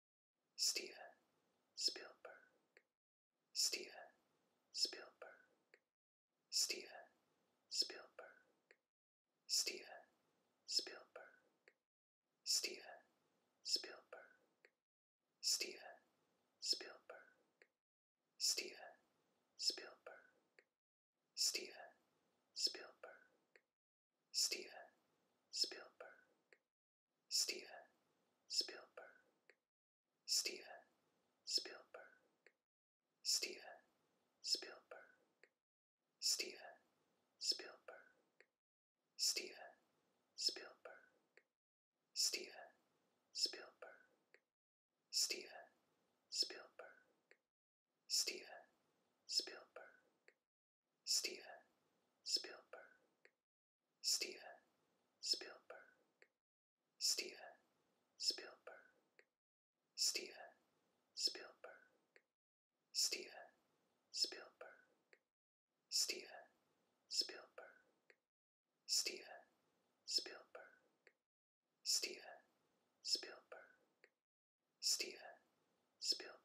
Steven Spielberg, Steven Spielberg, Steven Spielberg, Steven Spielberg, Steven Spielberg, Steven Spielberg, Steven Spielberg, Steven Spielberg, Steven Spielberg, Steven Spielberg, Steven Spielberg, Steven Spielberg, Steven Spielberg, Steven Spielberg, Steven Spielberg, Steven Spielberg, Spielberg, Steven Spielberg, Steven Spielberg, Steven Spielberg, Steven Spielberg, Steven Spielberg, Steven Spielberg, Steven Spielberg, Steven Spielberg, Spielberg.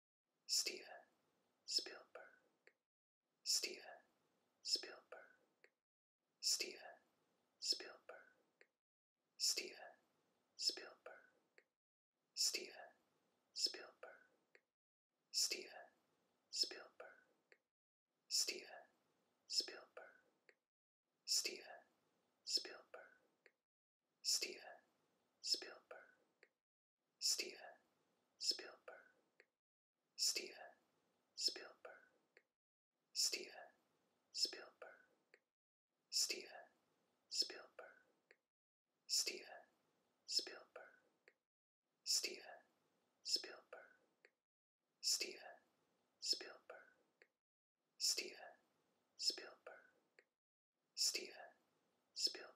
Steven Spielberg, Steven Spielberg, Steven Spielberg, Steven Spielberg, Steven Spielberg, Steven Spielberg, Steven Spielberg, Steven Spielberg, Spielberg. Steven Spielberg, Steven Spielberg, Steven Spielberg, Steven Spielberg, Steven Spielberg, Steven Spielberg, Steven Spielberg, Steven Spielberg, Spielberg.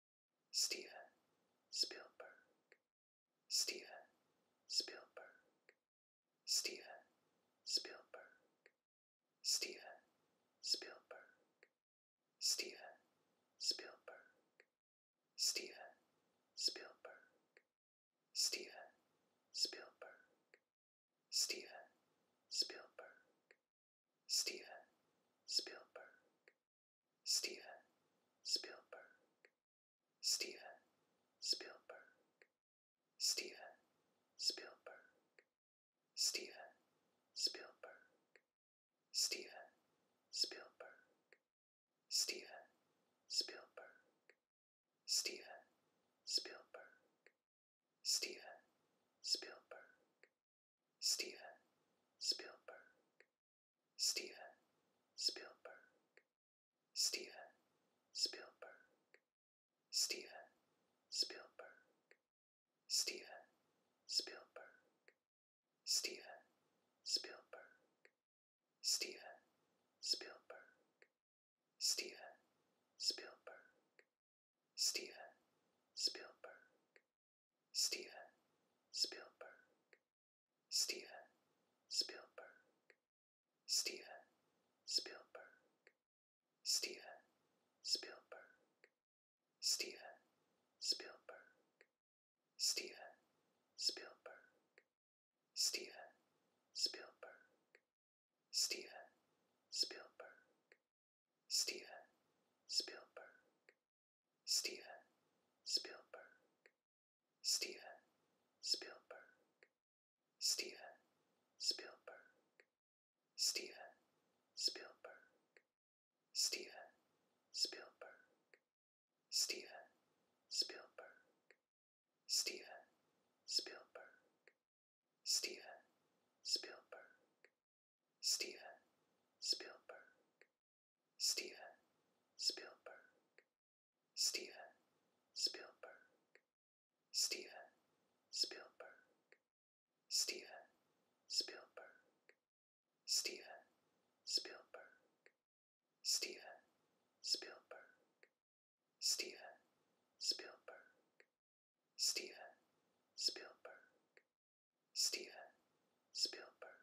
Steven Spielberg, Steven Spielberg, Steven Spielberg, Steven Spielberg, Steven Spielberg, Steven Spielberg, Steven Spielberg, Steven Spielberg, Spielberg. Steven Spielberg, Steven Spielberg, Steven Spielberg, Steven Spielberg, Steven Spielberg, Steven Spielberg, Steven Spielberg, Steven Spielberg, Spielberg. Steven Spielberg, Steven Spielberg, Steven Spielberg, Steven Spielberg, Steven Spielberg, Steven Spielberg, Steven Spielberg, Steven Spielberg, Spielberg. Steven Spielberg, Steven Spielberg, Steven Spielberg, Steven Spielberg, Steven Spielberg, Steven Spielberg, Steven Spielberg, Steven Spielberg. Steven Spielberg, Steven Spielberg, Steven Spielberg, Steven Spielberg, Steven Spielberg, Steven Spielberg, Steven Spielberg, Steven Spielberg, Spielberg. Steven Spielberg, Steven Spielberg, Steven Spielberg, Steven Spielberg, Steven Spielberg, Steven Spielberg, Steven Spielberg, Steven Spielberg, Spielberg,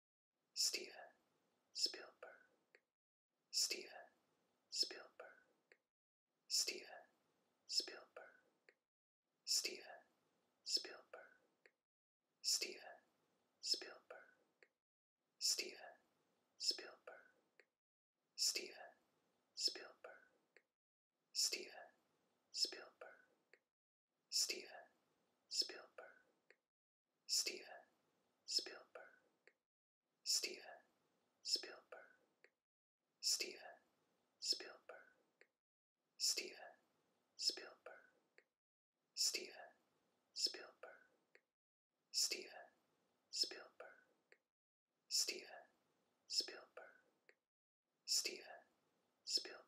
Steven Spielberg, Steven Spielberg, Steven Spielberg, Steven Spielberg, Steven Spielberg, Steven Spielberg, Steven Spielberg, Steven Spielberg, Steven Spielberg, Steven Spielberg, Steven Spielberg, Steven Spielberg, Steven Spielberg, Steven Spielberg, Steven Spielberg, Steven Spielberg, Spielberg,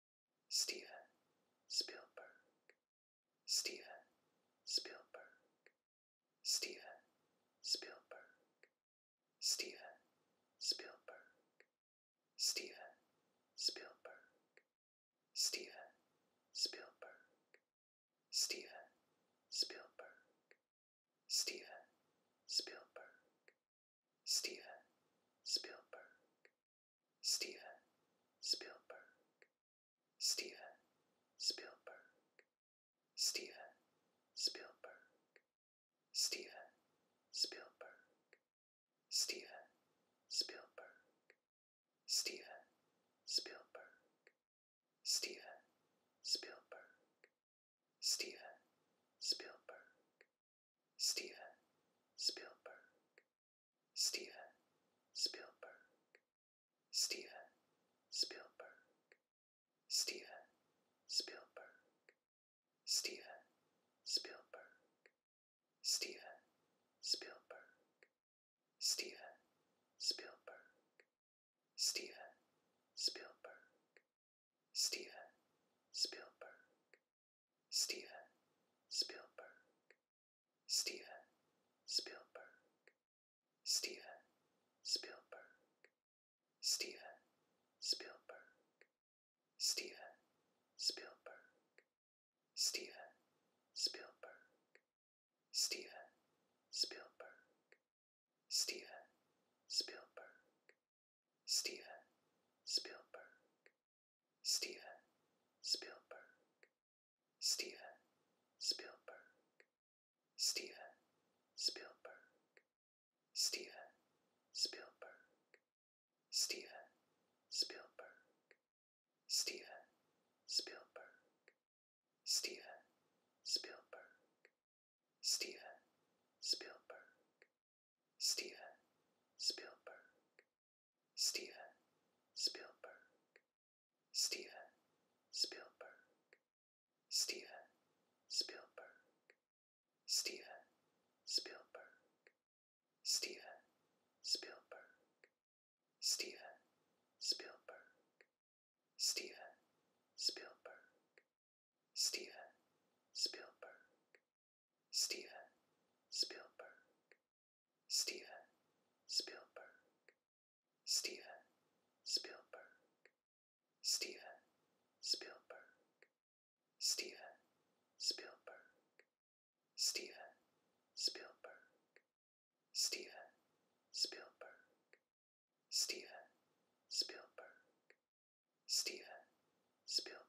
Steven Spielberg, Steven Spielberg, Steven Spielberg, Steven Spielberg, Steven Spielberg, Steven Spielberg, Steven Spielberg, Steven Spielberg, Steven Spielberg, Steven Spielberg, Steven Spielberg, Steven Spielberg, Steven Spielberg, Steven Spielberg, Steven Spielberg, Steven Spielberg, Spielberg. Steven Spielberg, Steven Spielberg, Steven Spielberg, Steven Spielberg, Steven Spielberg, Steven Spielberg, Steven Spielberg, Steven Spielberg, Spielberg. Steven Spielberg, Steven Spielberg, Steven Spielberg, Steven Spielberg, Steven Spielberg, Steven Spielberg, Steven Spielberg, Steven Spielberg, Spielberg, Steven Spielberg, Steven Spielberg, Steven Spielberg, Steven Spielberg, Steven Spielberg, Steven Spielberg, Steven Spielberg, Steven Spielberg, Spielberg. Steven Spielberg, Steven Spielberg, Steven Spielberg, Steven Spielberg, Steven Spielberg, Steven Spielberg, Steven Spielberg, Spielberg, Steven Spielberg, Steven Spielberg, Steven Spielberg, Steven Spielberg, Steven Spielberg, Steven Spielberg, Steven Spielberg, Steven Spielberg, Spielberg,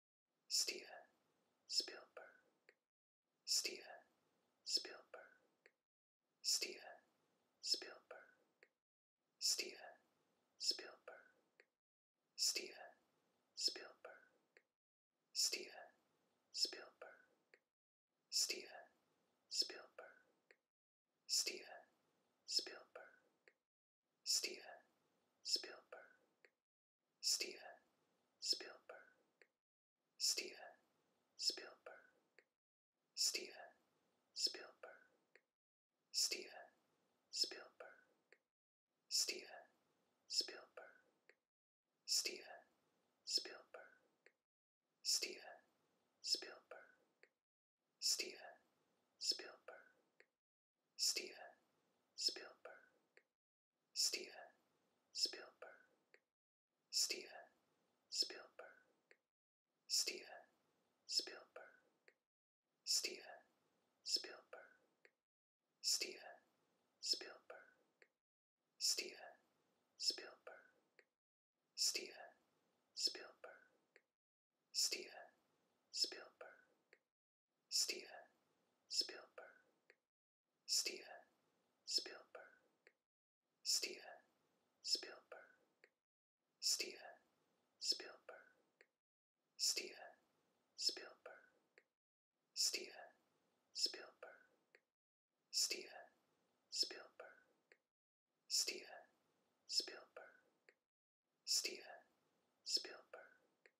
Steven Spielberg, Steven Spielberg, Steven Spielberg, Steven Spielberg, Steven Spielberg, Steven Spielberg, Steven Spielberg, Steven Spielberg, Spielberg. Steven Spielberg, Steven Spielberg, Steven Spielberg, Steven Spielberg, Steven Spielberg, Steven Spielberg, Steven Spielberg, Steven Spielberg, Steven Spielberg, Steven Spielberg, Steven Spielberg, Steven Spielberg, Steven Spielberg, Steven Spielberg, Steven Spielberg, Steven Spielberg, Spielberg. Steven Spielberg, Steven Spielberg, Steven Spielberg, Steven Spielberg, Steven Spielberg, Steven Spielberg, Steven Spielberg, Steven Spielberg, Spielberg.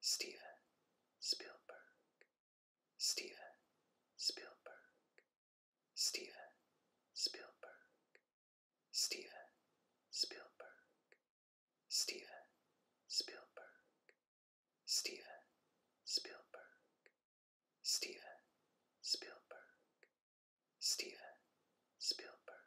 Steven Spielberg, Steven Spielberg, Steven Spielberg, Steven Spielberg, Steven Spielberg, Steven Spielberg, Steven Spielberg, Spielberg,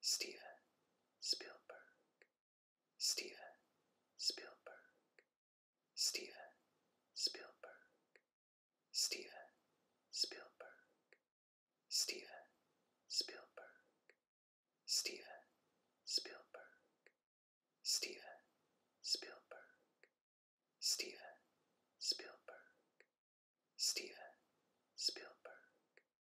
Steven Spielberg, Steven Spielberg, Steven Spielberg, Steven Spielberg, Steven Spielberg, Steven Spielberg, Steven Spielberg, Steven Spielberg, Spielberg.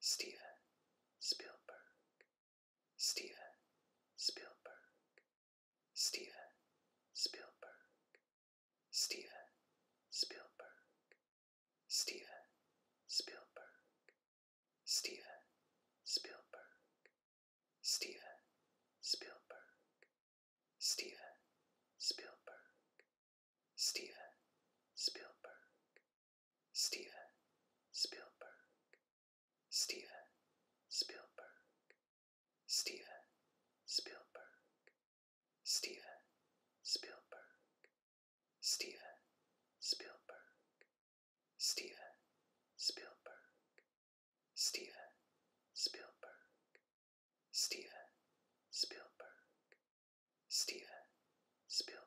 Steven Spielberg, Steven Spielberg, Steven Spielberg, Steven Spielberg, Steven Spielberg, Steven Spielberg, Steven Spielberg, Steven Spielberg, Spielberg, Steven Spielberg, Steven Spielberg, Steven Spielberg, Steven Spielberg, Steven Spielberg, Steven Spielberg, Steven Spielberg, Steven Spielberg, Spielberg.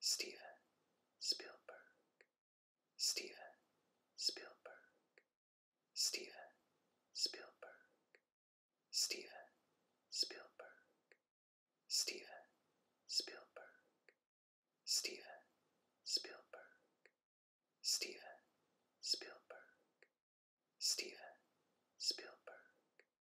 Steven Spielberg, Steven Spielberg, Steven Spielberg, Steven Spielberg, Steven Spielberg, Steven Spielberg, Steven Spielberg, Spielberg,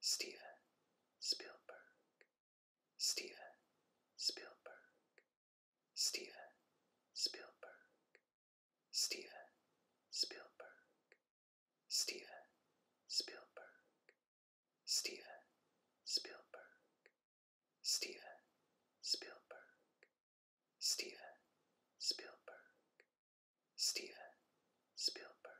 Steven Spielberg, Steven Spielberg, Steven Spielberg, Steven Spielberg, Steven Spielberg, Steven Spielberg, Steven Spielberg, Steven Spielberg, Spielberg,